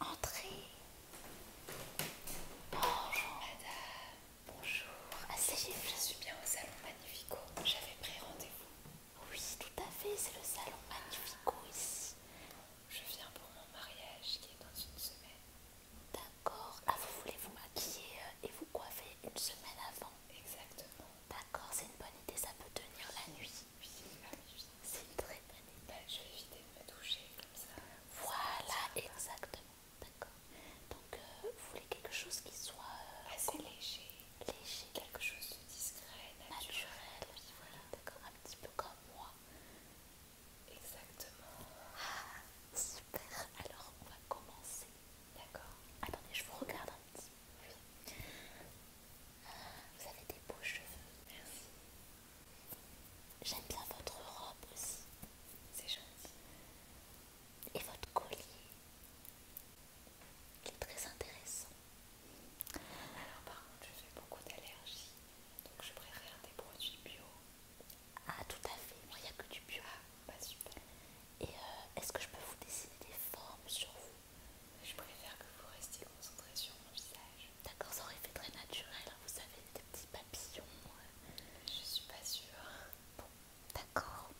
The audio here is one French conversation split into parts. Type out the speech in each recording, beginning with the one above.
Entrez. Bonjour madame. Bonjour. Asseyez-vous. Je suis bien au salon Magnifico. J'avais pris rendez-vous. Oui, tout à fait. C'est le salon Magnifico ici. Je viens pour mon mariage qui est dans une semaine. D'accord. Ah, vous voulez vous maquiller euh, et vous coiffer une semaine avant Exactement. D'accord, c'est une bonne idée. Ça peut tenir la nuit. Oui, C'est une très bonne idée. Bah, je vais éviter de me toucher comme ça. Voilà, exactement. D'accord. Donc, euh, vous voulez quelque chose qui soit euh, assez léger, léger, quelque chose de discret, naturel. voilà, d'accord. Un petit peu comme moi. Exactement. Ah, super. Alors, on va commencer. D'accord. Attendez, je vous regarde un petit peu. Vous avez des beaux cheveux. Merci. J'aime bien votre robe aussi. C'est gentil. Et votre collier. Il est très intéressant. Alors par contre, je fais beaucoup d'allergies. Donc je préfère des produits bio. Ah tout à fait, moi il n'y a que du bio. Ah, bah, super. Et euh, est-ce que je peux vous dessiner des formes sur vous Je préfère que vous restiez concentré sur mon visage. D'accord, ça aurait fait très naturel, hein, vous savez, des petits papillons. Euh, je suis pas sûre. Bon, d'accord.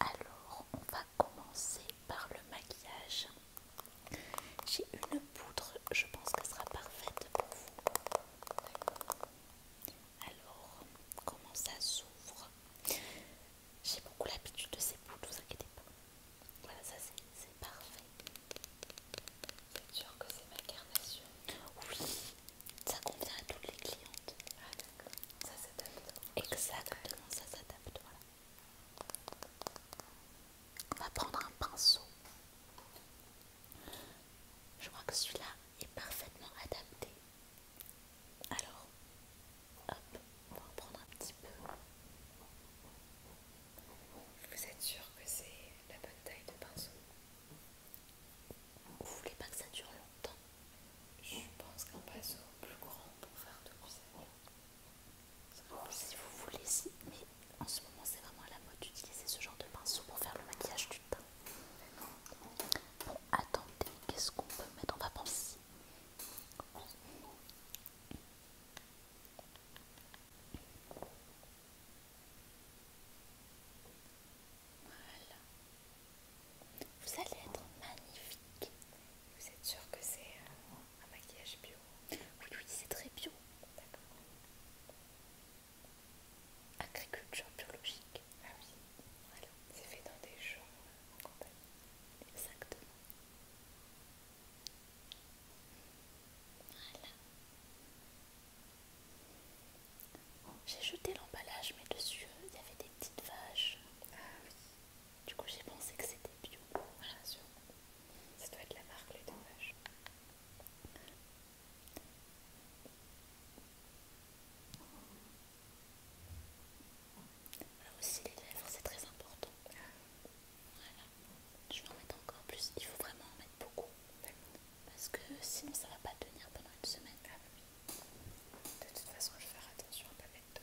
Alors, on va commencer par le maquillage. J'ai une poudre, je pense qu'elle sera parfaite pour vous. Alors, comment ça s'ouvre J'ai beaucoup l'habitude de ces poudres, vous inquiétez pas. Voilà, ça c'est parfait. Vous êtes sûr que c'est ma carnation. Oui, ça convient à toutes les clientes. Ah d'accord, ça s'adapte. Exactement, ça s'adapte, On va prendre un pinceau. Je crois que celui-là est parfaitement adapté. Alors, hop, on va en prendre un petit peu. Vous êtes sûr que c'est la bonne taille de pinceau. Vous voulez pas que ça dure longtemps Je pense qu'un pinceau plus grand pour faire de l'usage. Oh, si vous voulez, mais en ce moment c'est vraiment à la mode d'utiliser ce genre de pinceau pour faire le maquillage du teint. Bon, attendez, qu'est-ce qu'on peut mettre en va penser. Voilà. Vous allez être magnifique. Vous êtes sûr que c'est euh, un maquillage bio Oui, oui, c'est très bio. D'accord. Agriculture biologique. Ah oui. C'est fait dans des champs euh, en compagnie Exactement. Voilà. J'ai jeté l'emballage, mais dessus euh, il y avait des petites vaches. Ah du coup, j'ai pensé que c'était bio. Voilà, Ça doit être la marque Les Dents Vaches. Là aussi, les lèvres, c'est très important. Ah je vais en mettre encore plus. Il faut vraiment en mettre beaucoup parce que sinon ça va pas tenir pendant une semaine. Ah De toute façon, je vais faire attention à ne pas mettre d'eau.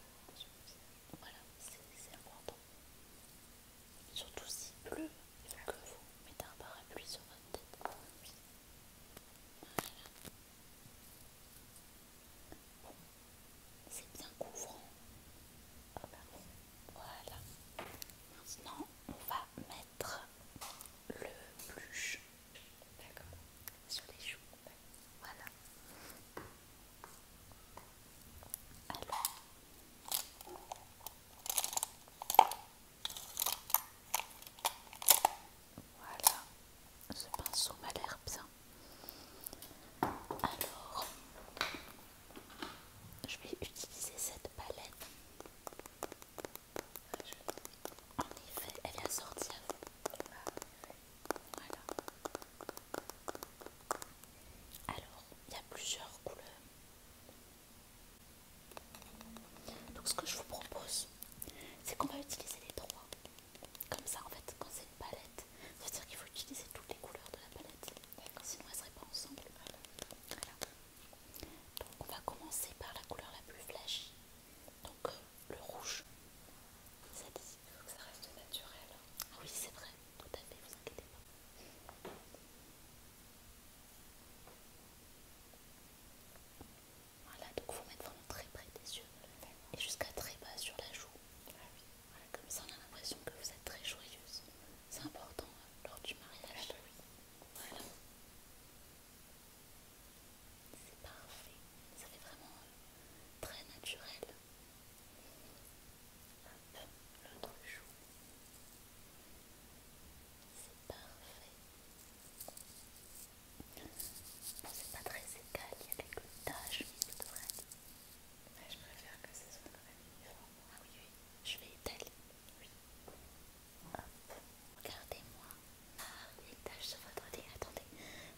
Voilà, c'est important. Surtout si pleut, il faut ah que vous mettez un parapluie sur votre tête. Voilà. c'est bien couvrant. Ah, voilà. Maintenant, on va mettre le blush d'accord sur les joues voilà alors voilà ce pinceau m'a l'air bien alors je vais utiliser cette palette en effet, elle assortie sortir. Voilà. Alors, il y a plusieurs couleurs. Donc ce que je vous propose, c'est qu'on va utiliser les trois. Comme ça, en fait, quand c'est une palette, ça veut dire qu'il faut utiliser toutes les couleurs de la palette. Sinon, elles ne seraient pas ensemble. Voilà. Donc on va commencer par la couleur la plus flashy, donc euh, le rouge. Ça il faut que ça reste naturel. Ah oui, c'est vrai, tout à fait, vous inquiétez pas. Voilà, donc vous vous mettre vraiment très près des yeux et jusqu'à très bas sur la joue. Ah comme ça on a l'impression que vous êtes très joyeuse. C'est important hein, lors du mariage. Ah bah voilà. C'est parfait. Ça fait vraiment très naturel. Hop, l'autre joue. C'est parfait. c'est pas très égal, il y a quelques tâches, mais je préfère que ce soit quand même uniforme. Ah oui, oui, je vais étaler. Oui. Regardez-moi ah, les taches sur votre nez. Attendez,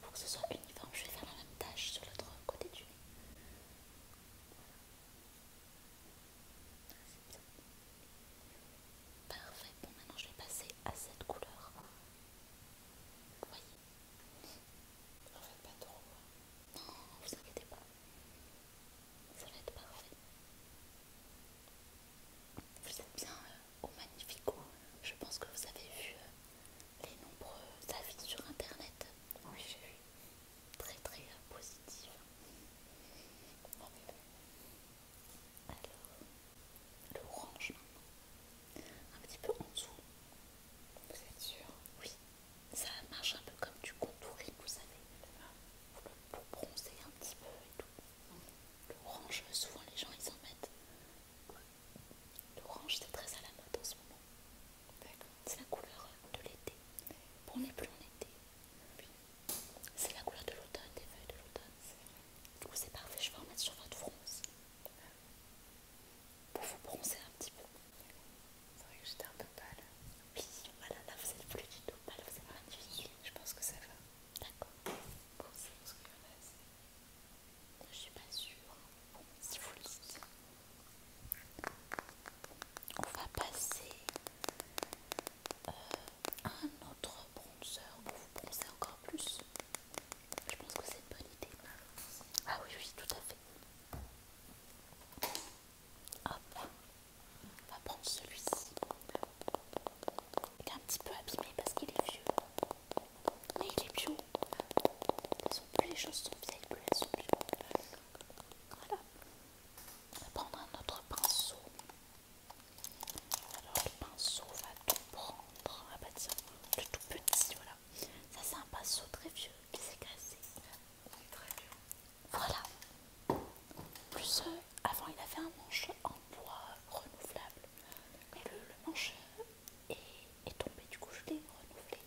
pour que ce soit uniforme, je vais faire la même tâche sur l'autre côté du nez. Parfait. Bon, maintenant je vais passer à cette couleur. Vous voyez en faites pas trop. Hein. Non, vous inquiétez pas ça va être parfait. Vous êtes bien euh, au Magnifico. Je pense que vous avez vu euh, les nombreux avis sur internet. Oui, j'ai vu. Très très euh, positif. Bon. Alors, l'orange maintenant. Un petit peu en dessous. Vous êtes sûr Oui. Ça marche un peu comme du contouring, vous savez. Ah, pour bronzer un petit peu et tout. L'orange, souvent les gens ils en mettent. L'orange c'est très à la mode en ce moment. C'est la couleur de l'été. Bon, on n'est plus en été. C'est la couleur de l'automne, des feuilles de l'automne. Du coup c'est parfait, je vais en mettre sur votre front Pour vous bronzer un petit peu. C'est vrai que j'étais un peu pâle. Oui, voilà, là vous êtes plus du tout. mal, vous êtes magnifique. Je pense que ça va. D'accord. Bon, je pense qu'il y en a assez. Je suis pas sûre. Bon, si vous le dites. On va passer à euh, un autre bronzer pour vous bronzer encore plus. Je pense que c'est une bonne idée. Ah oui, oui, tout à fait. Hop. On va prendre celui-ci. Il est un petit peu abîmé parce qu'il est vieux. Mais il est bio. Ils ont plus les choses sont vieilles, plus elles sont bio. Voilà. On va prendre un autre pinceau. Alors le pinceau va tout prendre. Ah bah tiens, le tout petit, voilà. Ça c'est un pinceau très vieux qui s'est cassé. Très vieux. Voilà. Plus euh, avant il avait un manche en bois renouvelable. le, manche est, tombé, du coup je l'ai renouvelé.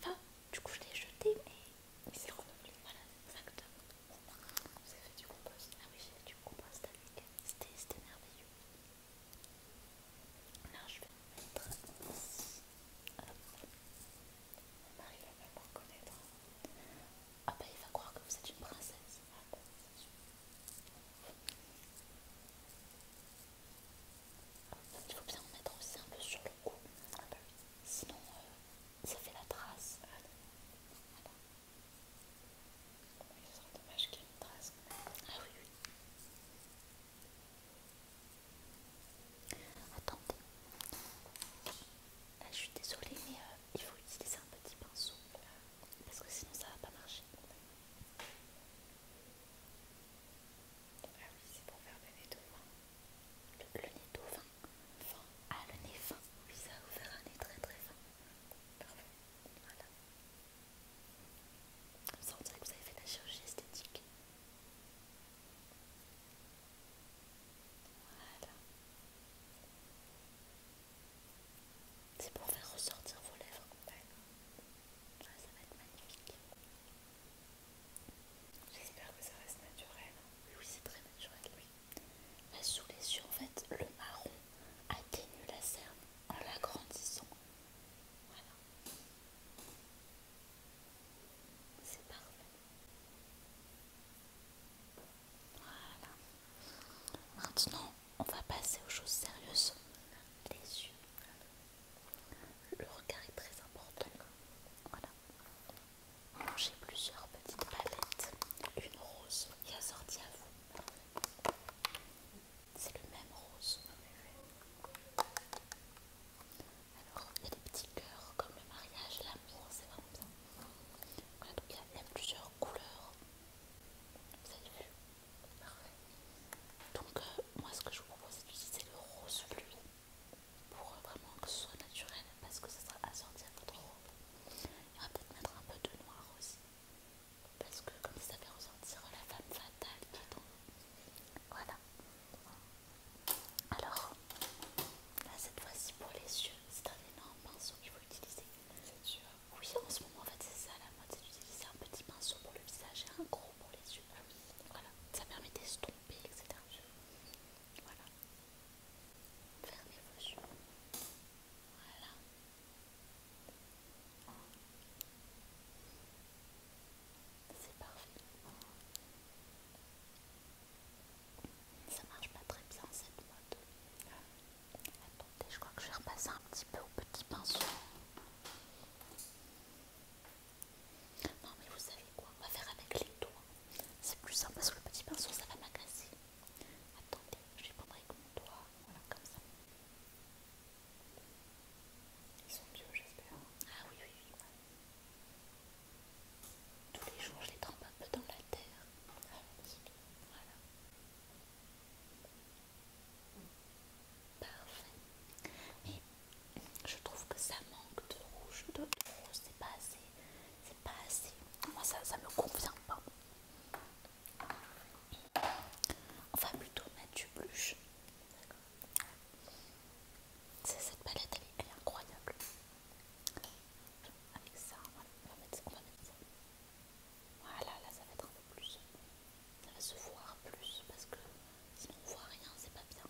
Enfin, du coup je l'ai jeté, mais il s'est renouvelé. Voilà, exactement. Vous avez fait du compost. Ah oui, j'ai fait du compost avec. C'était merveilleux. Là je vais mettre Marie mari va pas me reconnaître. Ah bah il va croire que vous êtes une princesse. Ah bah, ah, il faut bien en mettre aussi un peu sur le cou. Ah bah Sinon euh, ça fait la trace. Ah non. Bah, voilà. Oui, ce serait dommage qu'il y ait une trace. Ah oui, oui. Attendez je suis désolée, mais euh, il faut utiliser un petit pinceau euh, parce que sinon ça va pas marcher. Ah oui, c'est pour faire des nez tout Le, le nez tout Fin. Ah, le nez fin. Oui, ça va vous faire un nez très très fin. Parfait. Voilà. ça, on dirait que vous avez fait de la chirurgie esthétique. Voilà. C'est pour faire ressortir vos lèvres ça va être magnifique. J'espère que ça reste naturel. Oui, c'est très naturel, oui. sous les yeux, en fait, le marron atténue la serre en l'agrandissant. Voilà. C'est parfait. Voilà. Maintenant, on va passer aux choses sérieuses. Les yeux. Le regard est très important. Voilà. J'ai plusieurs petites palettes. Une rose qui a sorti à vous. C'est le même rose. Alors, il y a des petits cœurs comme le mariage, l'amour, c'est vraiment bien il y, a même plusieurs couleurs. Vous avez vu Parfait. Donc euh, moi ce que je vous propose c'est d'utiliser le rose fluide pour euh, vraiment que ce soit naturel parce que ça sera assorti à votre robe. il va peut-être mettre un peu de noir aussi parce que comme ça fait ressortir la femme fatale qui Voilà. Alors, cette fois-ci, pour les yeux, c'est un énorme pinceau qu'il faut utiliser. C'est sûr. Oui, en ce moment, en fait, c'est ça la mode c'est d'utiliser un petit pinceau pour le visage et un gros pour les yeux. Ah oui. Voilà, ça permet d'estomper, etc. Voilà. Fermez vos yeux. Voilà. C'est parfait. Ça marche pas très bien cette mode. Attendez, je crois que je vais repasser un petit peu au petit pinceau. Non mais vous savez quoi, on va faire avec les doigts. C'est plus simple parce que le petit pinceau ça va m'agacer. Attendez, je vais prendre avec mon doigt. Voilà, comme ça. Ils sont vieux j'espère. Ah oui, oui, oui. Tous les jours, je les trempe un peu dans la terre. Ah, Parfait. Mais je trouve que ça manque de rouge, de, rose, c'est pas assez. C'est pas assez. Moi, ça, ça me convient pas. On va plutôt mettre du blush. Cette palette, elle est incroyable. Avec ça, on va mettre, va ça. Voilà, là ça va être un peu plus. Ça va se voir plus parce que sinon on voit rien, c'est pas bien.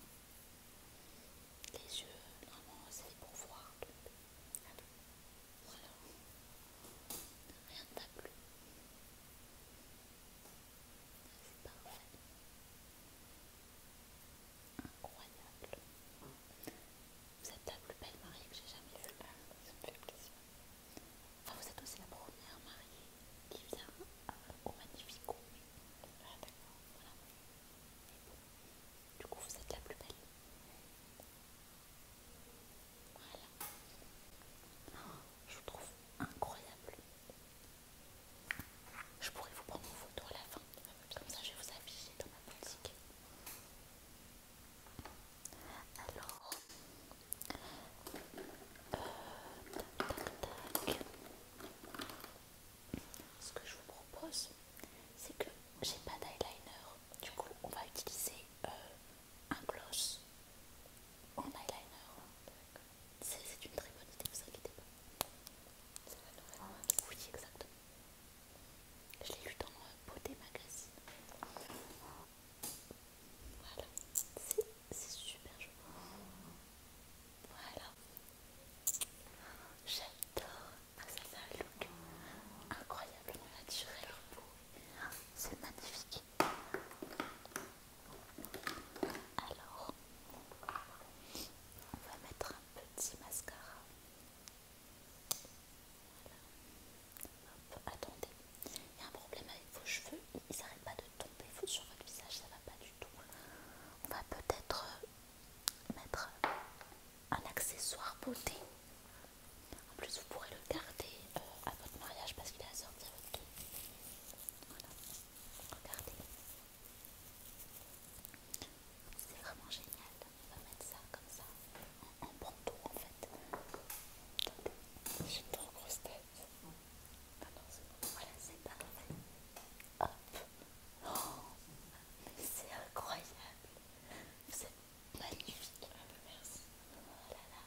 Les yeux, normalement, c'est pour voir. Voilà. Rien ne plu plus incroyable. Vous êtes la plus belle mariée que j'ai jamais vue. Ah, ça me fait plaisir. Enfin, vous êtes aussi la première mariée qui vient euh, au Magnifico. Ah, d'accord. Du coup, vous êtes la plus belle. Voilà. je vous trouve incroyable. Je pourrais vous prendre une photo à la fin. Comme ça, je vais vous afficher dans ma boutique. Alors, euh, ce que je vous propose, c'est que j'ai pas d'eyeliner. Du coup, on va utiliser euh, un gloss en eyeliner. C'est une très bonne idée, vous inquiétez pas. Oui, exactement. Je l'ai eu dans Beauté Magazine. Voilà, c'est super joli. Voilà, j'adore. que ah, ça fait un look incroyablement naturel. C'est magnifique. Alors, on va mettre un petit mascara attendez, il y a un problème avec vos cheveux, ils n'arrêtent pas de tomber sur votre visage, ça va pas du tout. On va peut-être euh, mettre euh, un accessoire beauté. En plus, vous pourrez le garder euh, à votre mariage parce qu'il est assorti à votre regardez. C'est vraiment génial on va mettre ça comme ça. en on en fait. j'ai une trop grosse tête. Ah non, c'est bon. Voilà, c'est parfait. Hop. Oh, c'est incroyable. C'est magnifique. merci. Oh là là.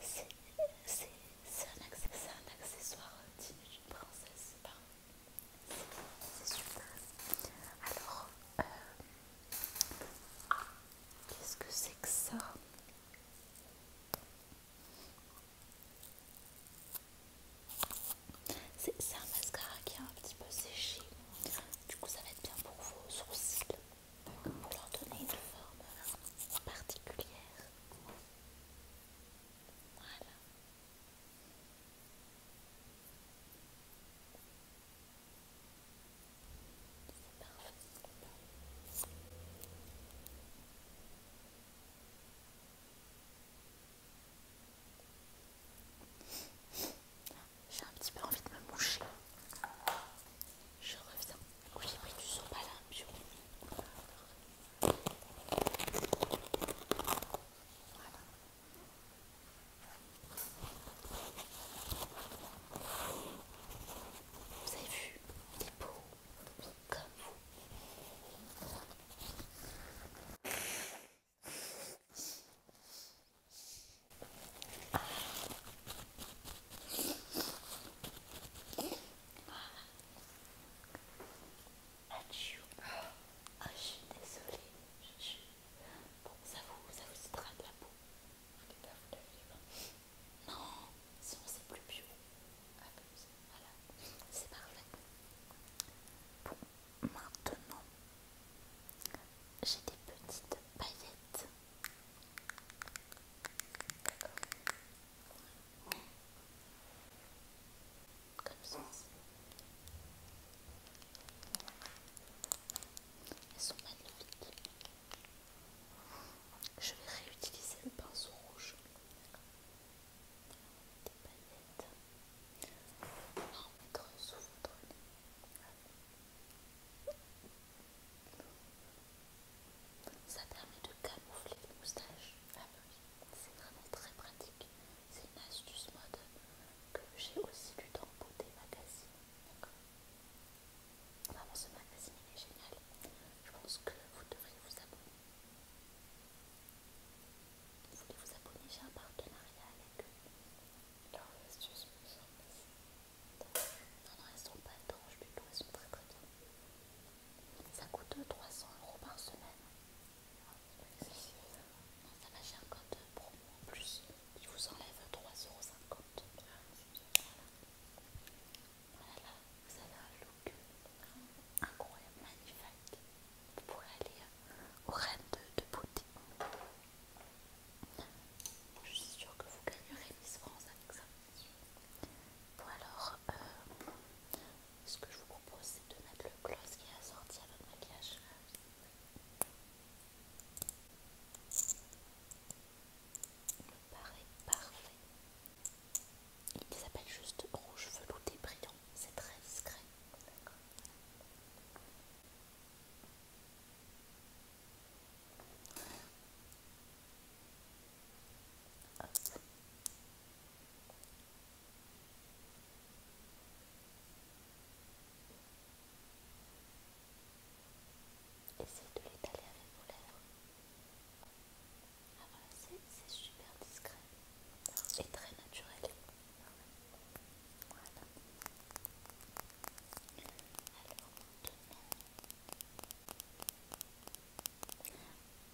C'est un, accessoire digne euh, d'une princesse. c'est parfait. C'est super. Alors, euh, qu'est-ce que c'est que ça C'est un mascara qui est un petit peu séché. Du coup, ça va être bien pour vos sourcils. Pour leur donner une forme particulière. Voilà. J'ai un petit peu envie de me moucher. Je reviens. Oui, j'ai pris du sopalin la Voilà. Vous avez vu, il est beau, comme vous. Ah. Ah. je suis désolée, je suis Bon, ça vous, ça de la peau. Non, sinon c'est plus bio. Ah, voilà, c'est parfait. Bon, maintenant, j'ai des petites paillettes. Comme ça. Elles sont magnifiques. Je vais réutiliser le pinceau rouge. Des palettes. On va en mettre sous votre nez. Ça permet de camoufler les moustaches. Ah bah c'est vraiment très pratique c'est une astuce mode que j'ai aussi lu dans magazines. Magazine. Vraiment, ce magazine il est génial. Je pense que vous devriez vous abonner. Vous voulez vous abonner J'ai un partenariat avec eux. astuce astuces me Non, non, elles sont pas étranges du tout, elles sont très très bien. Ça coûte 300 euros par semaine. Ah, non, ça va, j'ai un code promo en plus il vous enlève 3,50€. Voilà. voilà, vous avez un look euh, incroyable, magnifique. Vous pourrez aller euh, au reine de, beauté. Je suis sûre que vous gagnerez Miss France avec ça. Bon alors, euh, ce que je vous propose c'est de mettre le gloss qui est assorti à votre maquillage me paraît parfait. Il s'appelle juste rouge velouté brillant, c'est très discret. Essayez de l'étaler avec vos lèvres. Ah voilà, c'est super discret et très naturel. Alors maintenant,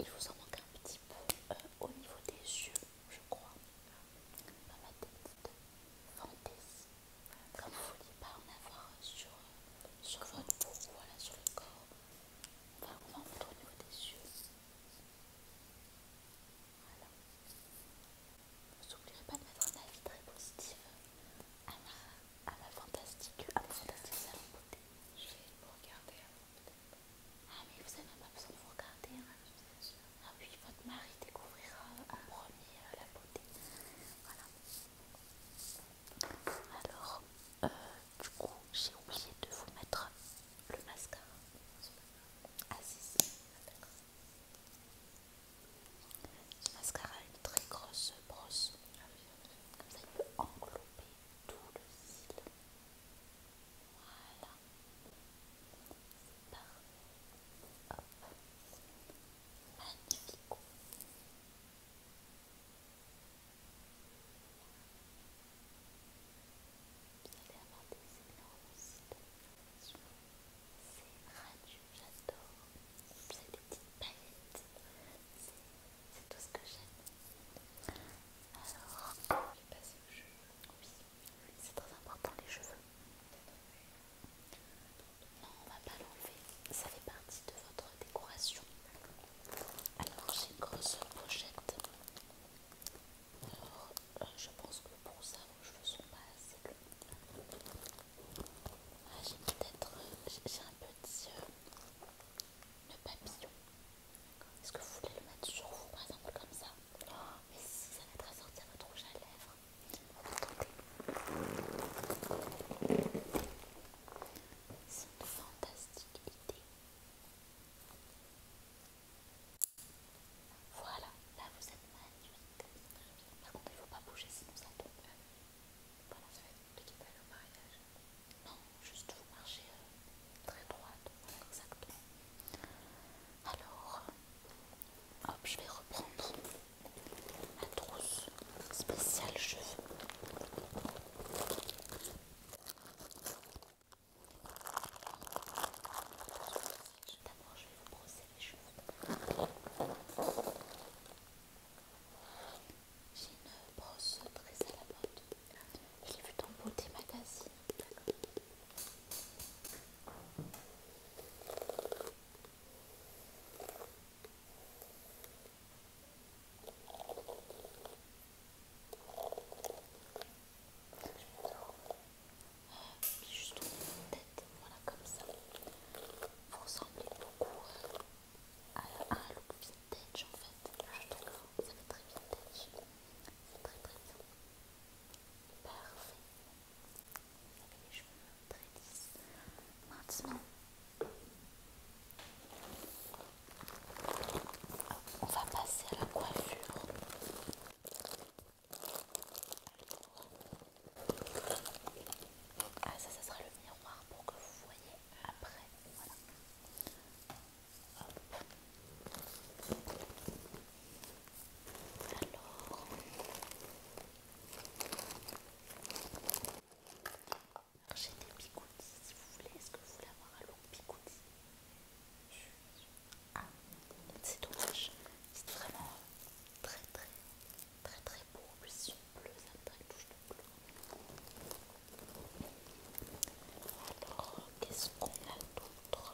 il vous en manque un petit peu euh, au niveau des yeux, je crois ma tête de fantaisie, comme vous ne vouliez pas en avoir sur, sur votre peau, voilà, sur le corps. Enfin, on va en mettre au niveau des yeux. Voilà. Vous n'oublierez pas de mettre un avis très positif à ma, fantastique, à fantastique salon beauté. Je vais vous regarder avant peut-être. Ah mais vous n'avez pas besoin de vous regarder, hein. Ah oui, votre mari découvrira en premier euh, la beauté. Voilà. Alors, euh, du coup, j'ai oublié de vous mettre le mascara. Ah si, Ce mascara a une très grosse brosse. Comme ça, il peut englober tout le cil. Voilà c'est Parfait. Hop. Magnifique. Vous allez avoir des séquences. C'est radieux, j'adore. C'est des petites paillettes. C'est tout ce que j'aime. Alors, je vais passer au jeu. Oui. C'est très important les cheveux. Non, on va pas l'enlever. Ça fait partie de votre décoration. Alors j'ai une grosse pochette. Alors, euh, je pense que pour ça vos cheveux sont pas assez longs. Ah, j'ai peut-être euh, j'ai un petit euh, papillon. Est-ce que vous voulez le mettre sur vous par exemple comme ça Oh, mais si, ça va te ressortir votre rouge à lèvres. On va tenter. C'est une fantastique idée. Voilà, là vous êtes magnifique. Par contre, il ne faut pas bouger sinon ça tombe. Voilà, ça va être compliqué au mariage. Non, juste vous marchez euh, très droite. Voilà, exactement. Alors, hop, je vais reprendre ma trousse spéciale cheveux. D'abord, je vais vous brosser les cheveux. J'ai une brosse très à la mode. Je l'ai vue dans Beauté Magazine. Mais juste au niveau de tête, voilà comme ça. Vous ressemblez beaucoup à, un look vintage en fait. Ah, je trouve ça fait très vintage. C'est très très bien. Parfait. Je Maintenant, on va passer à la coiffure. Ah ça, ça sera le miroir pour que vous voyez après. Alors, j'ai des picoutis si vous voulez. Est-ce que vous voulez avoir un long picouti ah, c'est dommage. C'est vraiment très très très très beau. si on bleu, ça touche de bleu. Alors, qu'est-ce qu'on a d'autre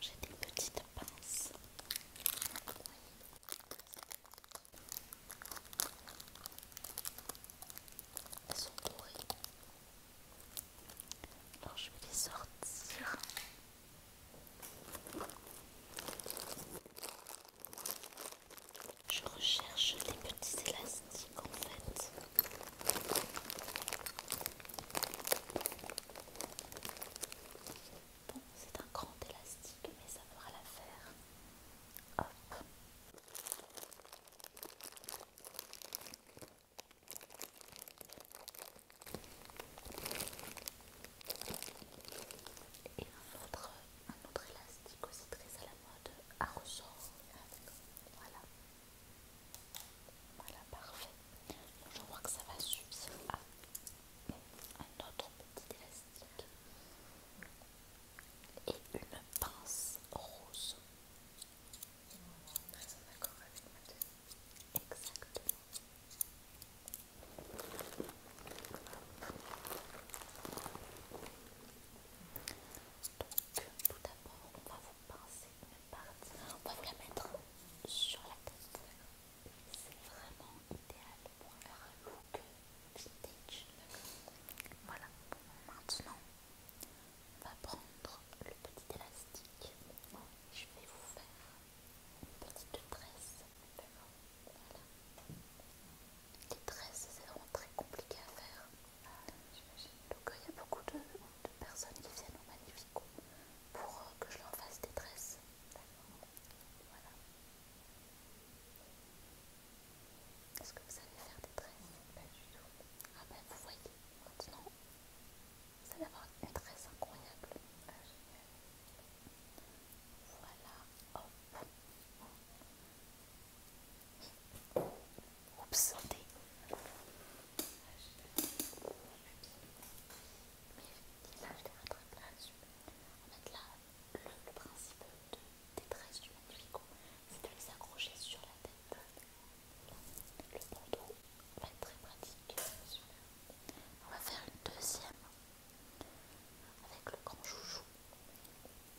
j'ai des petites pinces. Elles sont pourries. Alors je vais les sortir. Je recherche les petits élastiques en fait. Bon, c'est un grand élastique, mais ça fera l'affaire. Hop. Et un autre, élastique aussi très à la mode à ressort. Voilà. Voilà, parfait. je vois que ça va suffire un autre petit élastique. Et une pince rose. Exactement. Donc, tout d'abord, on va vous pincer une partie. On va vous la mettre sur la tête. C'est vraiment idéal pour faire un look vintage. Voilà. Maintenant, on va prendre le petit élastique. Je vais vous faire une petite tresse les tresses, c'est vraiment très compliqué à faire. Ah, Donc euh, il y a beaucoup de, personnes qui viennent au Magnifico pour euh, que je leur fasse des tresses. Voilà. Est-ce que vous savez faire des tresses Pas du tout. Ah ben vous voyez, maintenant, Ça va avoir une tresse incroyable. Ah, génial. Voilà, hop. Oups, santé. Mais là, je les très là. En fait, là, le, principe de, des tresses du magnifique c'est de les accrocher sur la tête. Le bandeau va être très pratique. On va faire une deuxième avec le grand joujou.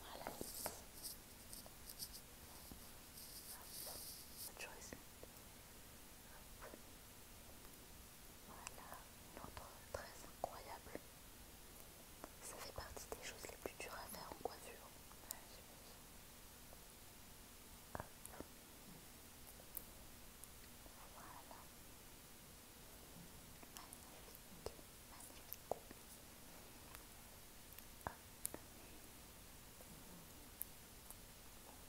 Voilà. Autre Voilà une autre très incroyable. Ça fait partie des choses les plus dures à faire en coiffure. Voilà magnifique, magnifique.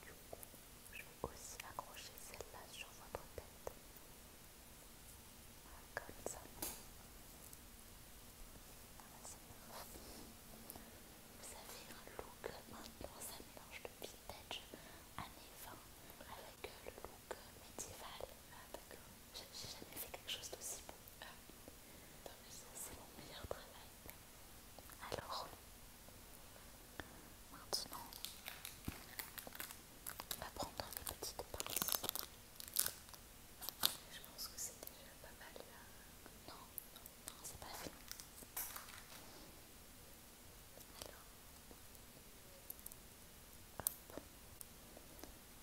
du coup, je vais aussi accrocher celle-là sur votre tête. comme ça. Vous avez un look maintenant, ça mélange de vintage années 20 avec le look que médiéval. Ah, d'accord. J'ai jamais fait quelque chose d'aussi beau. Ah. c'est mon meilleur travail. Alors, maintenant, on va prendre des petites pinces. Je pense que c'est déjà pas mal là. Non, non, non, c'est pas fini. Alors,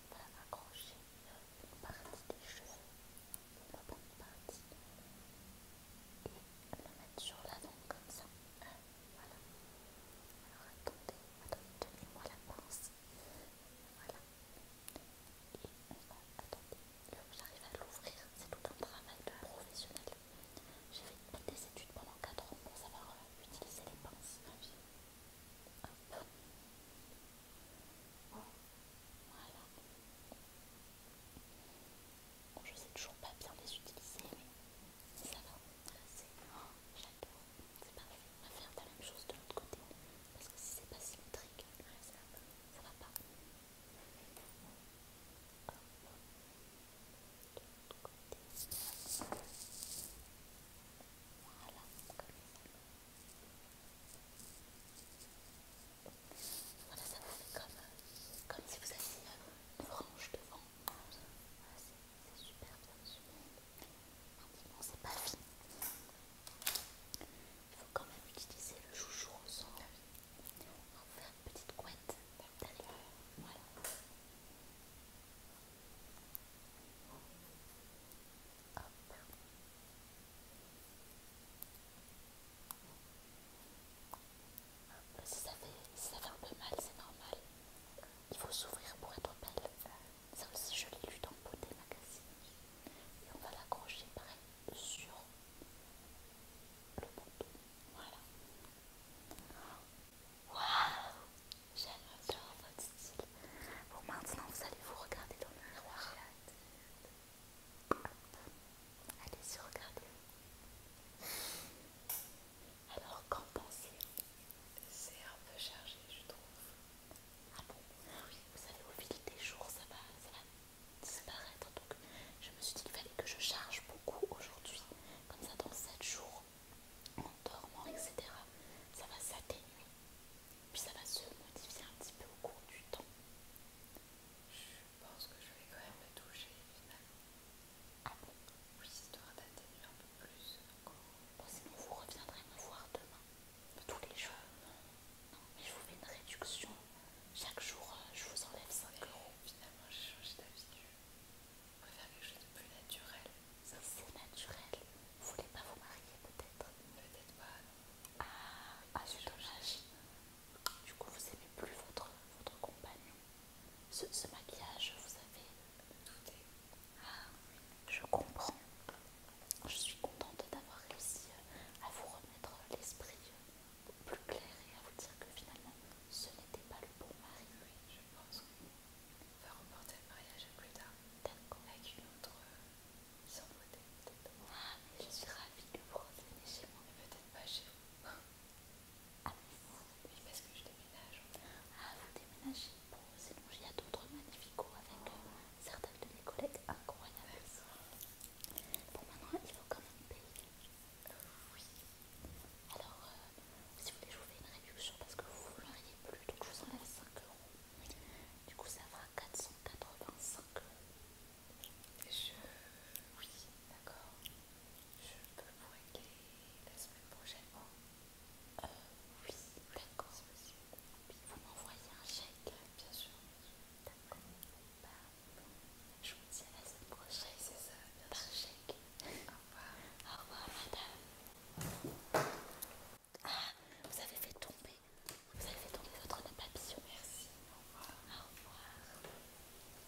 on va accrocher une partie des cheveux, la bonne partie, et le mettre sur la l'avant comme ça. voilà. Alors attendez, attendez, moi la pince. Voilà. Et on va, attendez, j'arrive à l'ouvrir, c'est tout un travail de professionnel. J'ai fait des études pendant 4 ans pour savoir euh, utiliser les pinces. Hop. Voilà. je sais toujours pas bien les utiliser, mais ça va. c'est. Oh, j'adore. C'est parfait. On va faire la même chose de l'autre côté. Parce que si c'est pas symétrique, ça, ça va pas. Voilà, ça. Voilà, ça vous fait comme, si vous aviez une branche devant. c'est super bien super. c'est pas fini. Il faut quand même utiliser le chouchou au sol pour faire une petite couette. Voilà. Hop. Si, ça fait, un peu mal, c'est normal. Il faut s'ouvrir pour être belle. Ça aussi, je l'ai lu dans Beauté Magazine. Et on va l'accrocher pareil sur le bouton. Voilà. Waouh J'aime bien votre style. Bon, maintenant, vous allez vous regarder dans le miroir. Allez-y, regardez. Alors, qu'en pensez-vous C'est un peu chargé, je trouve. Ah bon Oui, vous savez, au fil des jours, ça va, ça va disparaître. Donc, je me suis dit qu'il fallait que je charge beaucoup aujourd'hui. Comme ça, dans 7 jours, en dormant, etc., ça va s'atténuer, puis ça va se modifier un petit peu au cours du temps. Je pense que je vais quand même me toucher finalement. Ah d'atténuer un peu plus encore. sinon vous reviendrez me voir demain, tous les jours. Non, mais je vous fais une réduction. Chaque jour, euh, je vous enlève 5 euros. Finalement, j'ai changé d'habitude. On préfère quelque chose de plus naturel. C'est naturel. Vous voulez pas vous marier peut-être Peut-être pas. Ah, ah c'est Du coup, vous aimez plus votre, votre compagnon. Ce, maquillage, vous avez douté. Ah, je comprends. Je suis contente d'avoir réussi euh, à vous remettre l'esprit euh, plus clair et à vous dire que finalement, ce n'était pas le bon mari. Oui, je pense. On va reporter le mariage à plus tard. Avec une autre sans beauté, peut-être. Ah, mais je suis ravie de vous retenir chez moi. Mais peut-être pas chez vous. Ah, oui, parce que je déménage. Ah, vous déménagez Bon, sinon il y d'autres magnifiques avec euh, certains de mes collègues incroyables. Bon, maintenant, il faut quand même payer. oui, alors, euh, si vous voulez, je vous fais une réduction parce que vous ne plus, donc je vous enlève 5 euros. Du coup, ça fera 485 euros. Je. Oui, d'accord. Je peux vous aider la semaine prochainement Euh, oui, d'accord. vous m'envoyez un chèque Bien sûr. D'accord. Bah, je vous dis à la semaine prochaine. c'est ça. Bien chèque. Au revoir. Au revoir, madame. Ah, vous avez fait tomber, vous avez fait tomber votre nom, papillon. Merci, au revoir. Au revoir.